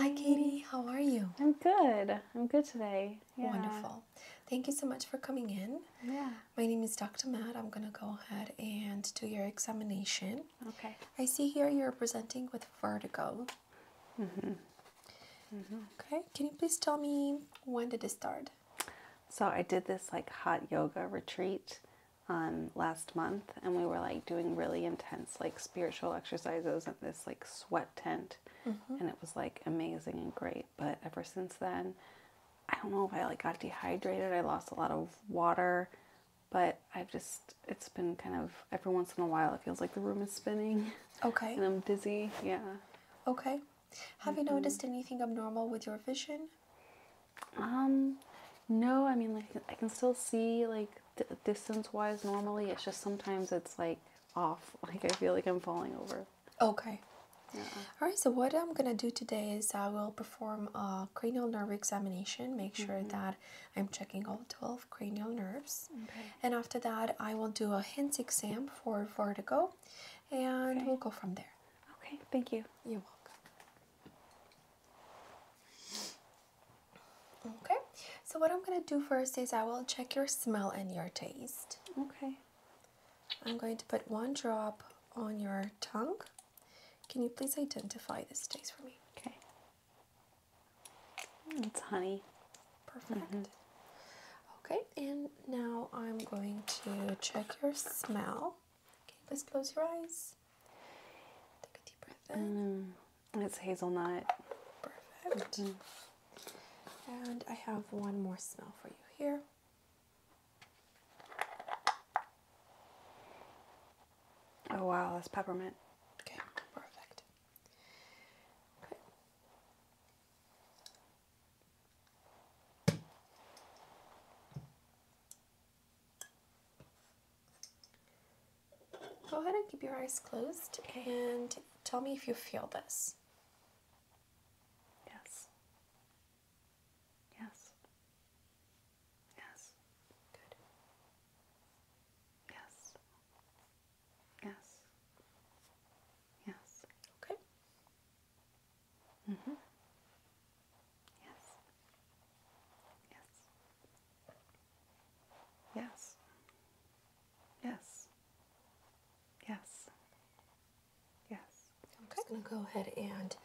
Hi, Katie. How are you? I'm good. I'm good today. Wonderful. Thank you so much for coming in. Yeah. My name is Dr. Matt. I'm going to go ahead and do your examination. Okay. I see here you're presenting with vertigo. Mm-hmm. Mm -hmm. Okay. Can you please tell me when did it start? So I did this like hot yoga retreat on um, last month, and we were like doing really intense like spiritual exercises in this like sweat tent, mm-hmm. and it was like amazing and great. But ever since then, I don't know if I like got dehydrated. I lost a lot of water, but I've just it's been kind of every once in a while it feels like the room is spinning. Okay. And I'm dizzy. Yeah. Okay. Have you mm-hmm. noticed anything abnormal with your vision? Um, no. I mean, like I can still see like distance-wise normally. It's just sometimes it's like off. Like I feel like I'm falling over. Okay. Yeah. All right, so what I'm gonna do today is I will perform a cranial nerve examination, make sure mm-hmm. that I'm checking all 12 cranial nerves. Okay. And after that, I will do a hints exam for vertigo and we'll go from there. Okay, thank you. You're welcome. Okay, so what I'm going to do first is I will check your smell and your taste. Okay. I'm going to put one drop on your tongue. Can you please identify this taste for me? Okay. Mm, it's honey. Perfect. Mm-hmm. Okay, and now I'm going to check your smell. Okay, please close your eyes. Take a deep breath in. Mm, it's hazelnut. Perfect. Mm. And I have one more smell for you here. Oh wow, that's peppermint. Okay, perfect. Okay. Go ahead and keep your eyes closed and tell me if you feel this. Yes. Yes. Yes. Good. Yes. Yes. Yes. Okay. Mm-hmm. Yes. Yes. Yes. Yes. Yes. Yes. I'm just going to go ahead and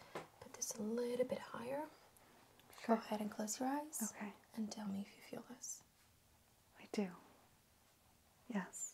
put this a little bit higher. Sure. Go ahead and close your eyes. Okay. And tell me if you feel this. I do. Yes.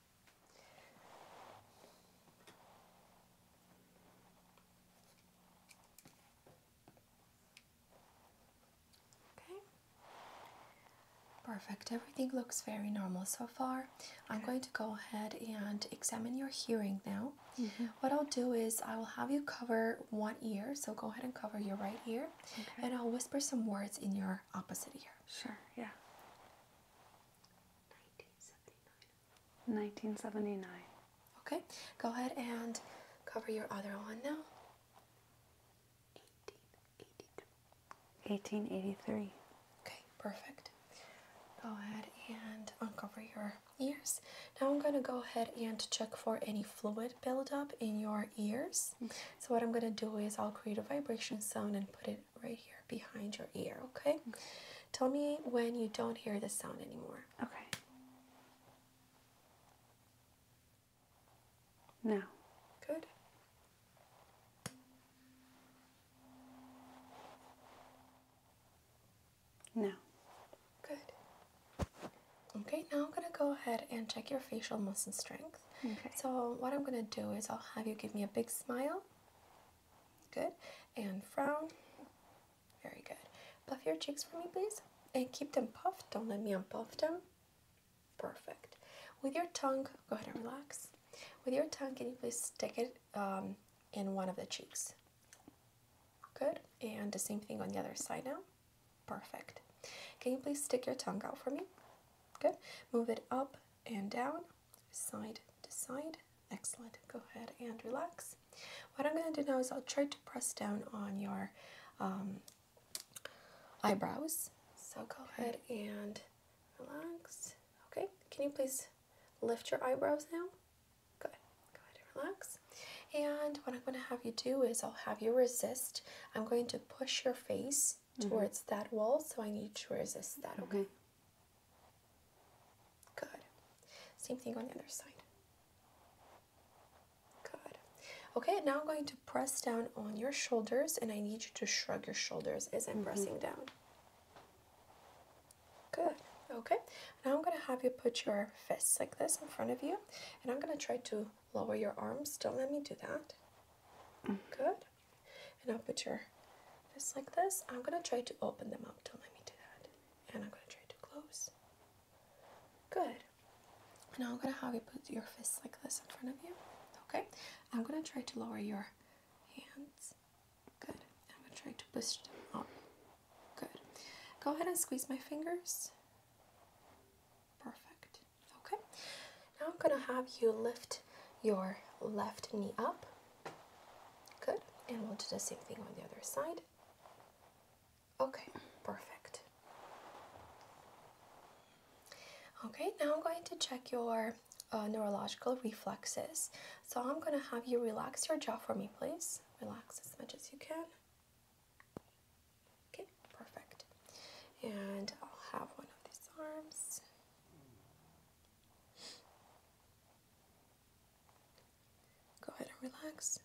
Okay. Perfect. Everything looks very normal so far. I'm going to go ahead and examine your hearing now. Mm What I'll do is I will have you cover one ear, so go ahead and cover your right ear, okay. and I'll whisper some words in your opposite ear. Sure, yeah. 1979. Okay, go ahead and cover your other one now. 1883. Okay, perfect. Go ahead and uncover your ears. Now I'm going to go ahead and check for any fluid buildup in your ears. Mm-hmm. So, what I'm going to do is I'll create a vibration sound and put it right here behind your ear, okay? Mm-hmm. Tell me when you don't hear the sound anymore. Okay. Now. Good. Now. Good. Okay, now I'm going to go ahead and check your facial muscle strength. Okay. So, what I'm going to do is I'll have you give me a big smile. Good. And frown. Very good. Puff your cheeks for me, please. And keep them puffed. Don't let me unpuff them. Perfect. With your tongue, go ahead and relax. With your tongue, can you please stick it um, in one of the cheeks? Good. And the same thing on the other side now. Perfect. Can you please stick your tongue out for me? Good. Move it up and down side to side. Excellent. Go ahead and relax. What I'm going to do now is I'll try to press down on your um, eyebrows. So go ahead and relax. Okay, can you please lift your eyebrows now? Good. Go ahead and relax. And what I'm going to have you do is I'll have you resist. I'm going to push your face mm-hmm. towards that wall, so I need you to resist that, mm-hmm. okay. Good. Same thing on the other side. Good. Okay, now I'm going to press down on your shoulders and I need you to shrug your shoulders as I'm mm-hmm. pressing down. Good. Okay, now I'm going to have you put your fists like this in front of you, and I'm going to try to lower your arms. Don't let me do that. Mm-hmm. Good. And I'll put your just like this. I'm gonna try to open them up. Don't let me do that. And I'm gonna try to close. Good. Now I'm gonna have you put your fists like this in front of you. Okay. I'm gonna try to lower your hands. Good. I'm gonna try to push them up. Good. Go ahead and squeeze my fingers. Perfect. Okay. Now I'm gonna have you lift your left knee up. Good, and we'll do the same thing on the other side. Okay, perfect. Okay, now I'm going to check your uh, neurological reflexes. So I'm going to have you relax your jaw for me, please. Relax as much as you can. Okay, perfect. And I'll have one of these arms. Go ahead and relax.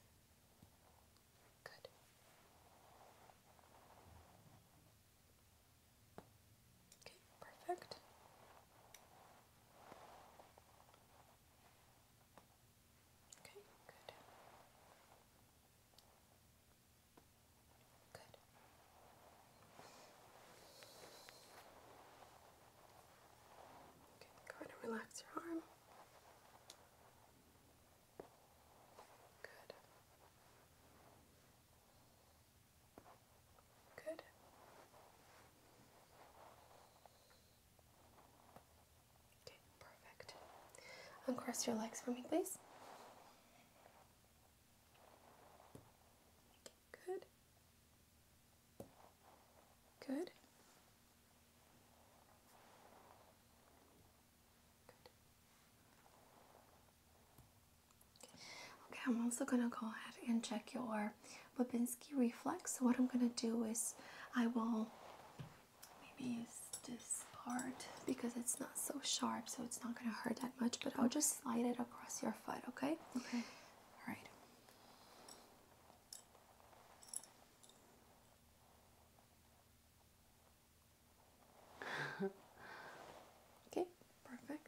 Good. Okay, perfect. Okay, good. Good go ahead and relax your arm. Good. Good. Okay, perfect. Uncross your legs for me, please. Good. Good. Okay, I'm also going to go ahead and check your Babinski reflex. So, what I'm going to do is I will maybe use this part because it's not so sharp, so it's not going to hurt that much, but I'll just slide it across your foot, okay? Okay. All right. okay, perfect.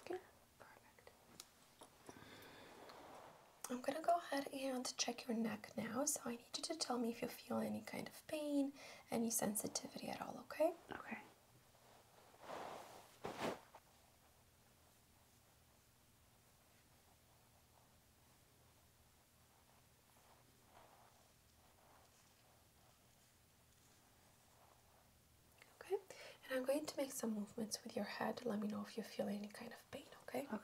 Okay, perfect. I'm gonna go ahead and check your neck now. So I need you to tell me if you feel any kind of pain, any sensitivity at all, okay? Okay. Okay, and I'm going to make some movements with your head. Let me know if you feel any kind of pain, okay? Okay.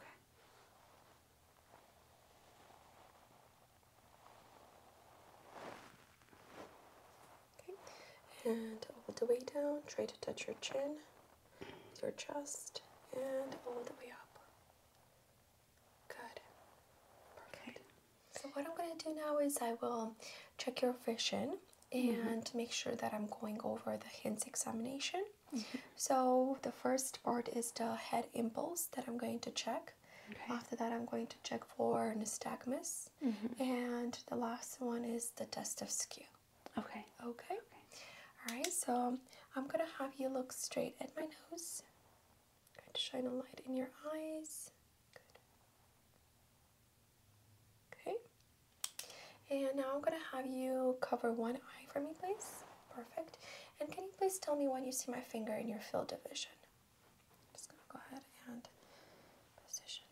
Okay, and all the way down, try to touch your chin, your chest, and all the way up. Good. Okay. So what I'm going to do now is I will check your vision mm-hmm. and make sure that I'm going over the hints examination. Mm-hmm. So the first part is the head impulse that I'm going to check. After that, I'm going to check for nystagmus. Mm-hmm. And the last one is the test of skew. Okay. Okay. All right, so I'm going to have you look straight at my nose. Shine a light in your eyes. Good. Okay. And now I'm going to have you cover one eye for me, please. Perfect. And can you please tell me when you see my finger in your field of vision? just going to go ahead and position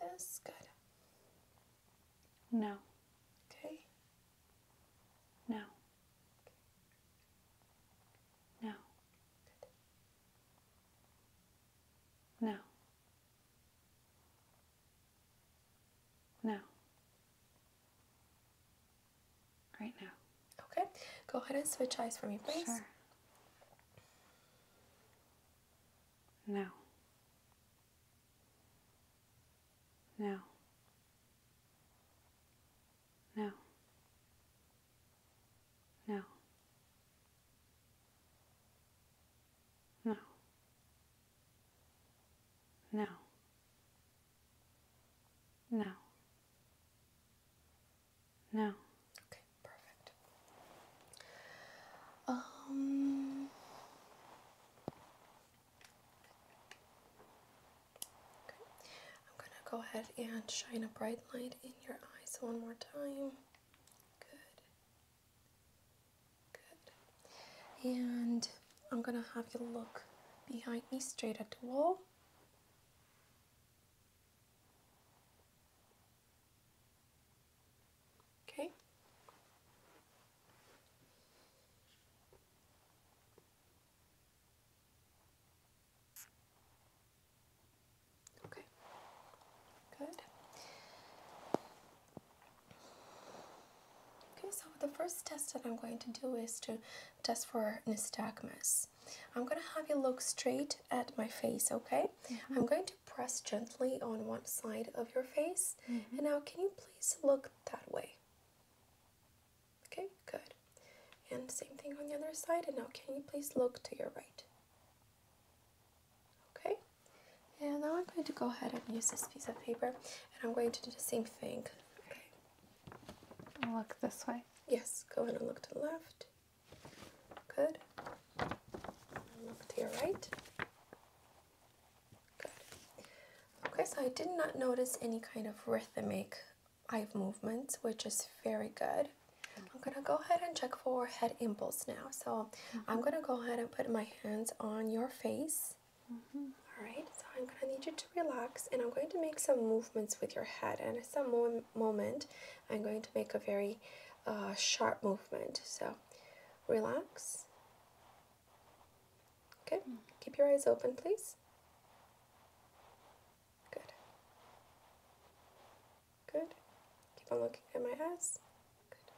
this. Good. No. Okay. No. No. No. No right now. Okay, go ahead and switch eyes for me, please. Sure. Now. Now. Now. Now. Now. No. No. Okay, perfect. Um I'm going to go ahead and shine a bright light in your eyes one more time. Good. Good. And I'm going to have you look behind me straight at the wall. Okay. Okay. Good. Okay, so the first test that I'm going to do is to test for nystagmus. I'm gonna have you look straight at my face, okay? Mm-hmm. I'm going to press gently on one side of your face, mm-hmm. and now can you please look that way? Okay, good. And same thing on the other side, and now can you please look to your right? Okay, and now I'm going to go ahead and use this piece of paper, and I'm going to do the same thing. Okay, I'll look this way. Yes, go ahead and look to the left. Good. And look to your right. Good. Okay, so I did not notice any kind of rhythmic eye movements, which is very good. I'm gonna go ahead and check for head impulses now. So I'm mm-hmm. gonna go ahead and put my hands on your face. Mm-hmm. All right, so I'm gonna need you to relax and I'm going to make some movements with your head and some mov moment, I'm going to make a very uh, sharp movement. So relax. Okay, Keep your eyes open, please. Good. Good. Keep on looking at my eyes. Good.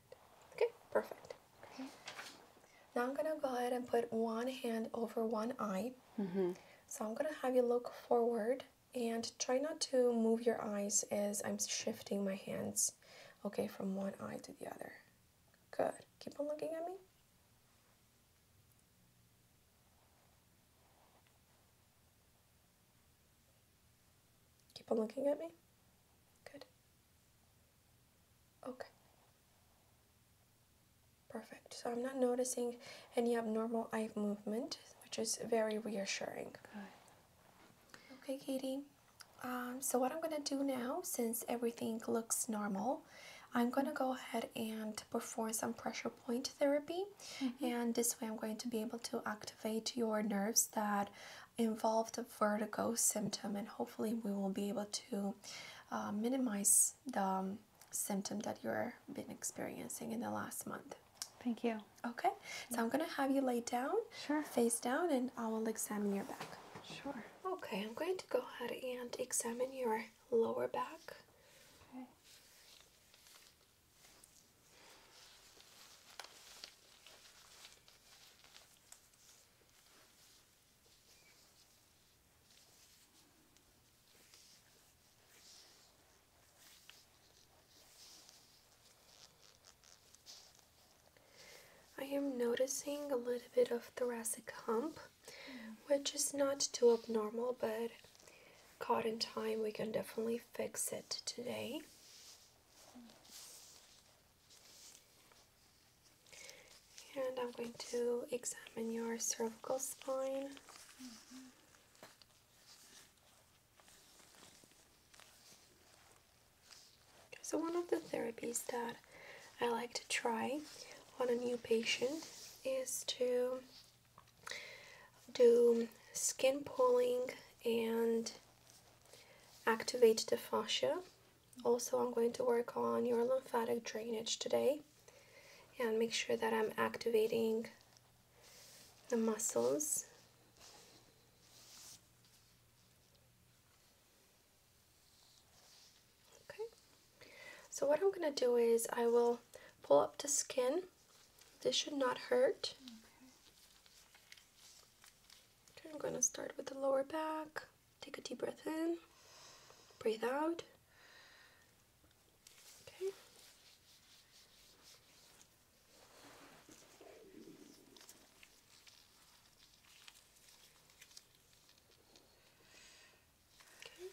Good. Okay, perfect. Okay. Now I'm gonna go ahead and put one hand over one eye. Mm-hmm. So I'm gonna have you look forward and try not to move your eyes as I'm shifting my hands. Okay, from one eye to the other. Good. Keep on looking at me. Keep on looking at me. Good. Okay. Perfect. So I'm not noticing any abnormal eye movement, which is very reassuring. Good. Okay, Katie. Um, so what I'm going to do now, since everything looks normal, I'm going to go ahead and perform some pressure point therapy. Mm-hmm. And this way I'm going to be able to activate your nerves that involve the vertigo symptom and hopefully we will be able to uh, minimize the um, symptom that you are been experiencing in the last month. Thank you. Okay, so I'm gonna have you lay down, sure. face down, and I will examine your back. Sure. Okay, I'm going to go ahead and examine your lower back. Okay. I am noticing a little bit of thoracic hump, which is not too abnormal, but caught in time, we can definitely fix it today. And I'm going to examine your cervical spine. so, one of the therapies that I like to try on a new patient is to do skin pulling and activate the fascia also, I'm going to work on your lymphatic drainage today and make sure that I'm activating the muscles. Okay, so what I'm going to do is I will pull up the skin. This should not hurt. I'm going to start with the lower back. Take a deep breath in, breathe out. Okay. Okay.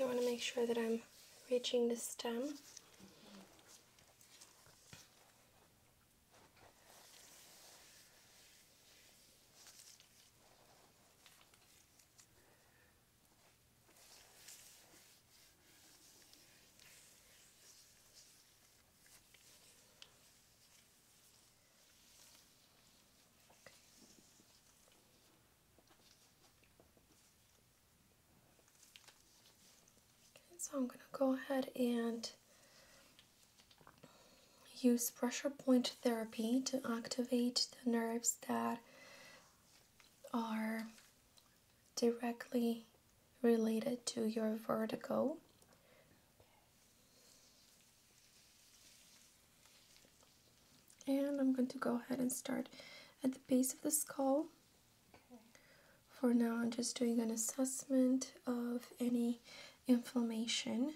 I want to make sure that I'm reaching the stem so I'm going to go ahead and use pressure point therapy to activate the nerves that are directly related to your vertigo. And I'm going to go ahead and start at the base of the skull. For now, I'm just doing an assessment of any inflammation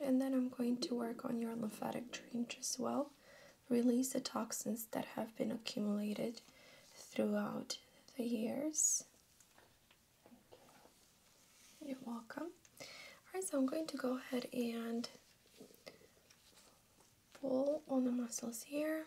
and then I'm going to work on your lymphatic drainage as well. Release the toxins that have been accumulated throughout the years. You're welcome. Alright, so I'm going to go ahead and pull on the muscles here.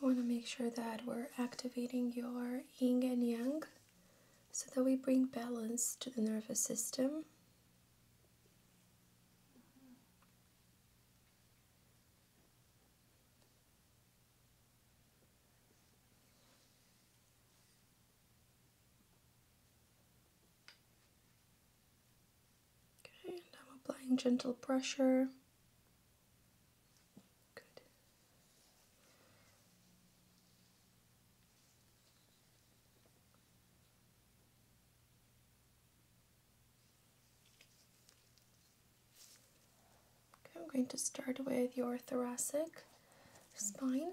We want to make sure that we're activating your yin and yang so that we bring balance to the nervous system. Okay, and applying gentle pressure. I'm going to start with your thoracic spine.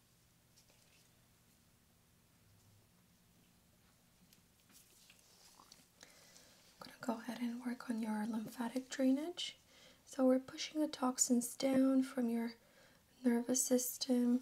I'm going to go ahead and work on your lymphatic drainage. So we're pushing the toxins down from your nervous system.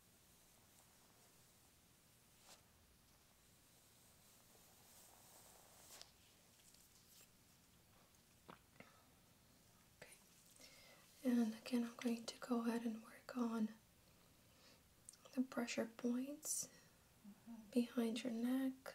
and again, I'm going to go ahead and work on the pressure points behind your neck.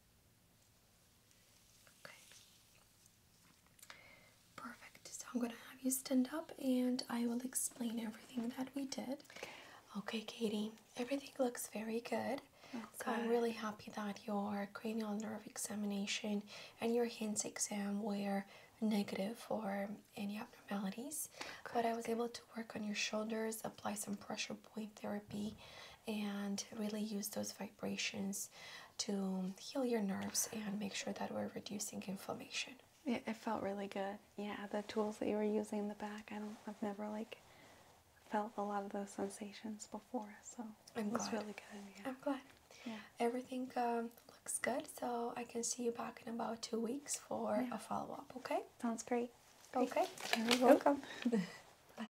Okay. Perfect. So I'm going to have you stand up and I will explain everything that we did. Okay, Katie. Everything looks very good. Oh, so I'm really happy that your cranial nerve examination and your hands exam were negative for any abnormalities. Okay. But I was able to work on your shoulders, apply some pressure point therapy, and really use those vibrations to heal your nerves and make sure that we're reducing inflammation. It, felt really good. Yeah, the tools that you were using in the back, I don't, I've never like felt a lot of those sensations before, so it was really good. I'm glad. Yeah. Everything um, looks good, so I can see you back in about two weeks for a follow up. Okay. Sounds great. Okay. You're welcome.